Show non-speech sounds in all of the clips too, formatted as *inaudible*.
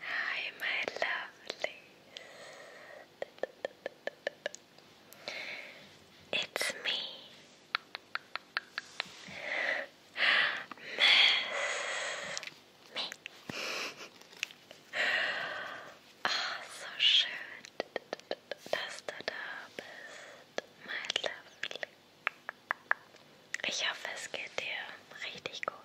Hi, my lovely. It's me, Miss Me. Ah, so schön. dass du da bist, mein Löffel. Ich hoffe, es geht dir richtig gut.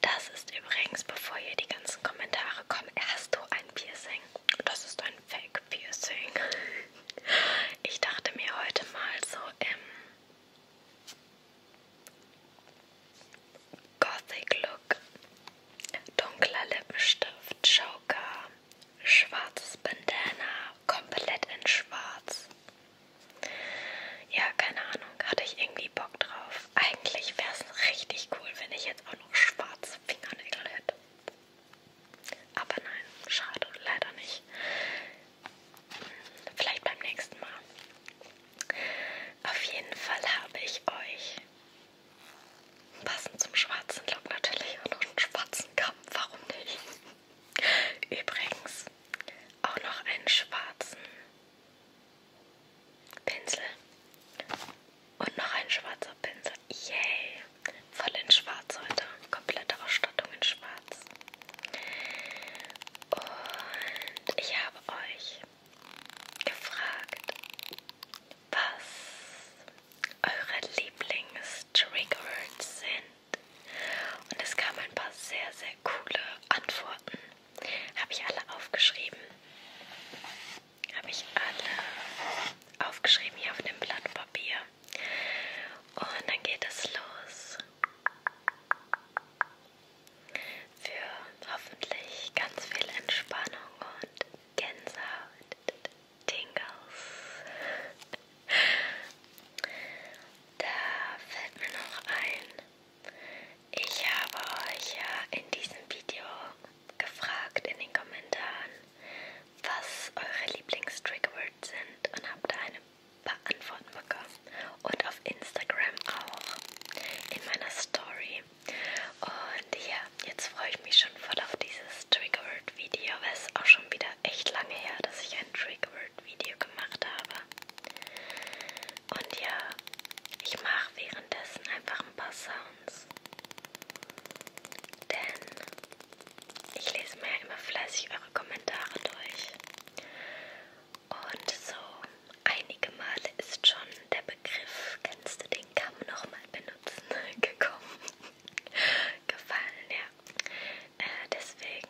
Das ist übrigens, bevor hier die ganzen Kommentare kommen, hast du ein Piercing? Das ist ein Fake-Piercing. Ich dachte mir heute mal so im Gothic-Look dunkler Lippenstift, Joker, schwarzes Bandana, komplett in schwarz. Ja, keine Ahnung, hatte ich irgendwie Bock drauf. Eigentlich wäre es richtig cool, wenn ich jetzt auch noch schwarze Fingernägel hätte. Aber nein, schade, leider nicht. Vielleicht beim nächsten Mal. Auf jeden Fall habe ich euch Passend zum schwarzen Look natürlich und auch einen schwarzen Kamm, warum nicht? Übrigens auch noch einen schwarzen Pinsel und noch ein schwarzer Pinsel. Yay! Voll in schwarz heute. Komplette Ausstattung in schwarz. Und ich habe euch gefragt, was eure Lieblings-Triggerwords sind. Und es kamen ein paar sehr, sehr coole Antworten. Habe ich alle aufgeschrieben. Habe ich alle aufgeschrieben hier auf dem Blatt Papier. Und dann geht es los. Für hoffentlich ganz viel Entspannung und Gänsehaut. Tingles. Da fällt mir noch ein. Ich habe euch ja in diesem Video gefragt in den Kommentaren, was eure Lieblings-Triggerwords sind und habe da eine paar Antworten bekommen. Und auf Instagram auch in meiner Story. Und hier jetzt freue ich mich schon voll auf dieses Triggerword-Video, weil es auch schon wieder echt lange her, dass ich ein Triggerword-Video gemacht habe. Und ja, ich mache währenddessen einfach ein paar Sounds. Denn ich lese mir ja immer fleißig eure Kommentare durch. Und so einige Male ist schon der Begriff, kennst du den den kann man nochmal benutzen *laughs* gekommen, gefallen, ja. Äh, deswegen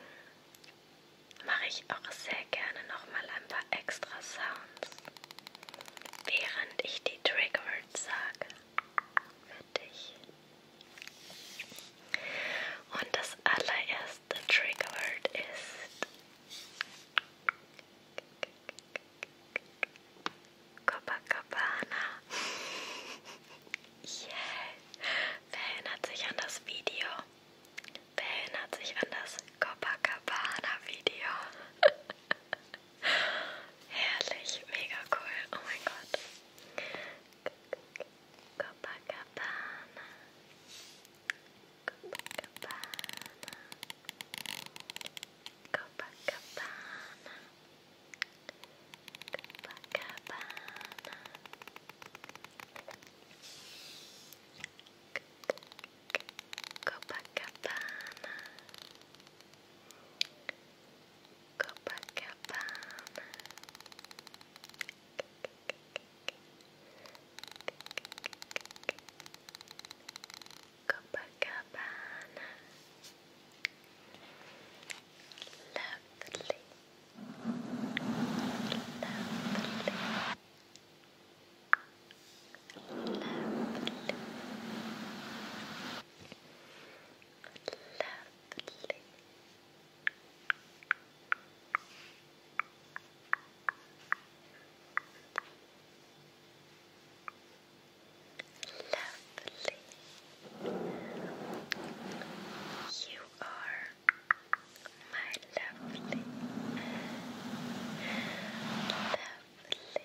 mache ich auch sehr gerne nochmal ein paar extra Sounds, während ich die Triggerwords sage für dich. Und das allererste Triggerword ist Copacabana. *laughs* Yeah. Wer erinnert sich an das Video? Wer erinnert sich an das Copacabana-Video? *laughs* Herrlich, mega cool. Oh mein Gott. Copacabana. Copacabana. Copacabana. Copacabana. Copacabana. Copacabana. Copacabana. Copacabana. Lovely. Lovely. Lovely. Lovely. Lovely. Lovely. You are my lovely, lovely. Lovely. Lovely.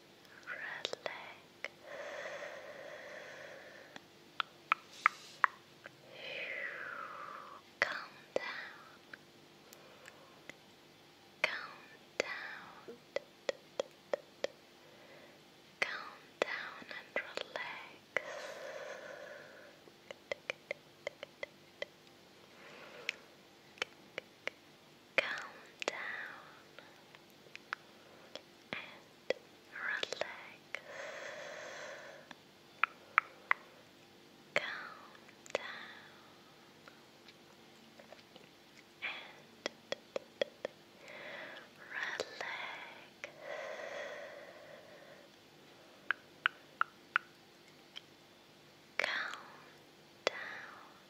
leg. Calm down. Calm down. Calm down and relax calm down and relax. Calm down and relax. Calm down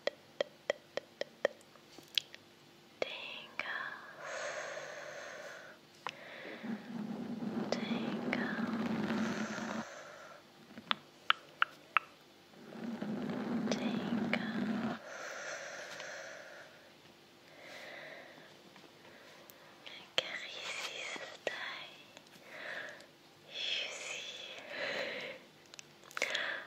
Tingles. Tingles. Tingles. Caressez this day. You see.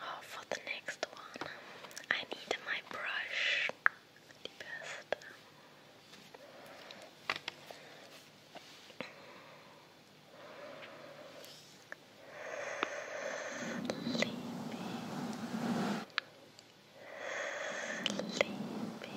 Oh, for the next one, I need my brush. The best. Sleepy. Sleepy. Sleepy. Sleepy.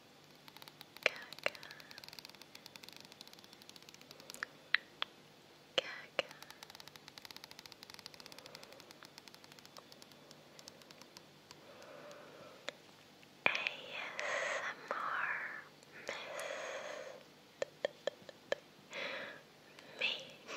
Gaga. Gaga. ASMR Mist Me ASMR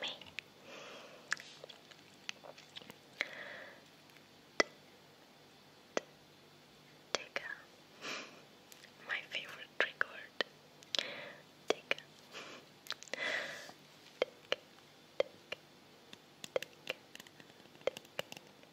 me. Tika, my favorite trick word. Tika, Tika, Tika, Tika,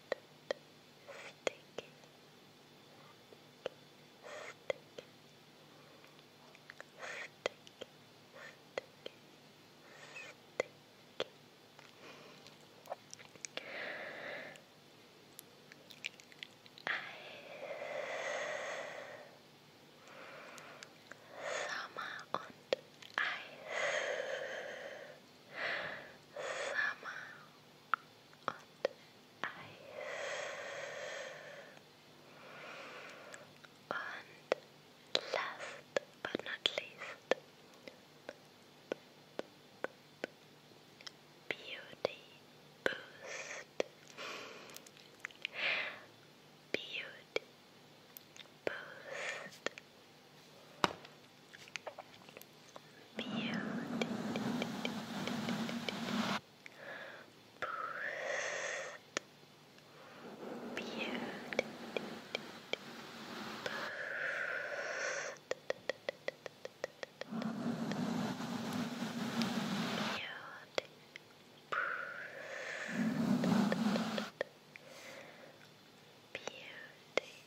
sticky, sticky, sticky, sticky, sticky. Eis, Sommer und Eis, Sommer on ice. And last but not least, Beauty Boost. Beauty Boost. Beauty. Boost. Beauty. Boost. Beauty. Boost. Beauty.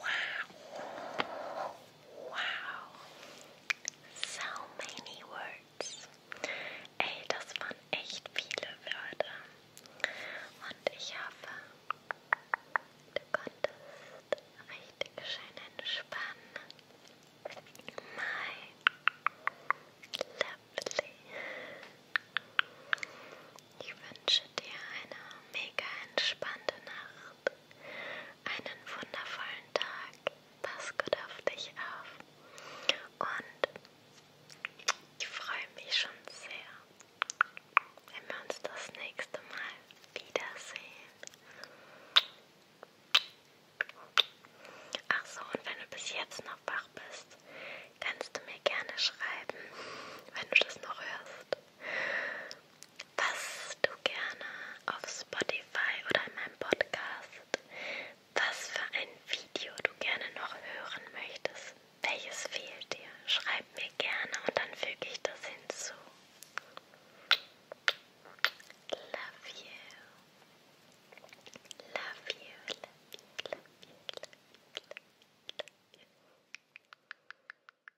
Wow. Wow. So many words. Ey, das waren echt viele Wörter. Und ich hoffe, du konntest richtig schön entspannen. My lovely. Ich wünsche dir eine mega entspannte Nacht einen wundervollen Tag. Pass gut auf dich auf. Und ich freue mich schon sehr, wenn wir uns das nächste Mal wiedersehen. Ach so, und wenn du bis jetzt noch wach bist, kannst du mir gerne schreiben, wenn du das noch hörst was du gerne auf Spotify oder in meinem Podcast, was für ein Video du gerne noch hören möchtest. Welches fehlt dir? Schreib mir gerne und dann füge ich das hinzu. Love you. Love you. Love you. Love you. Love you. Love you.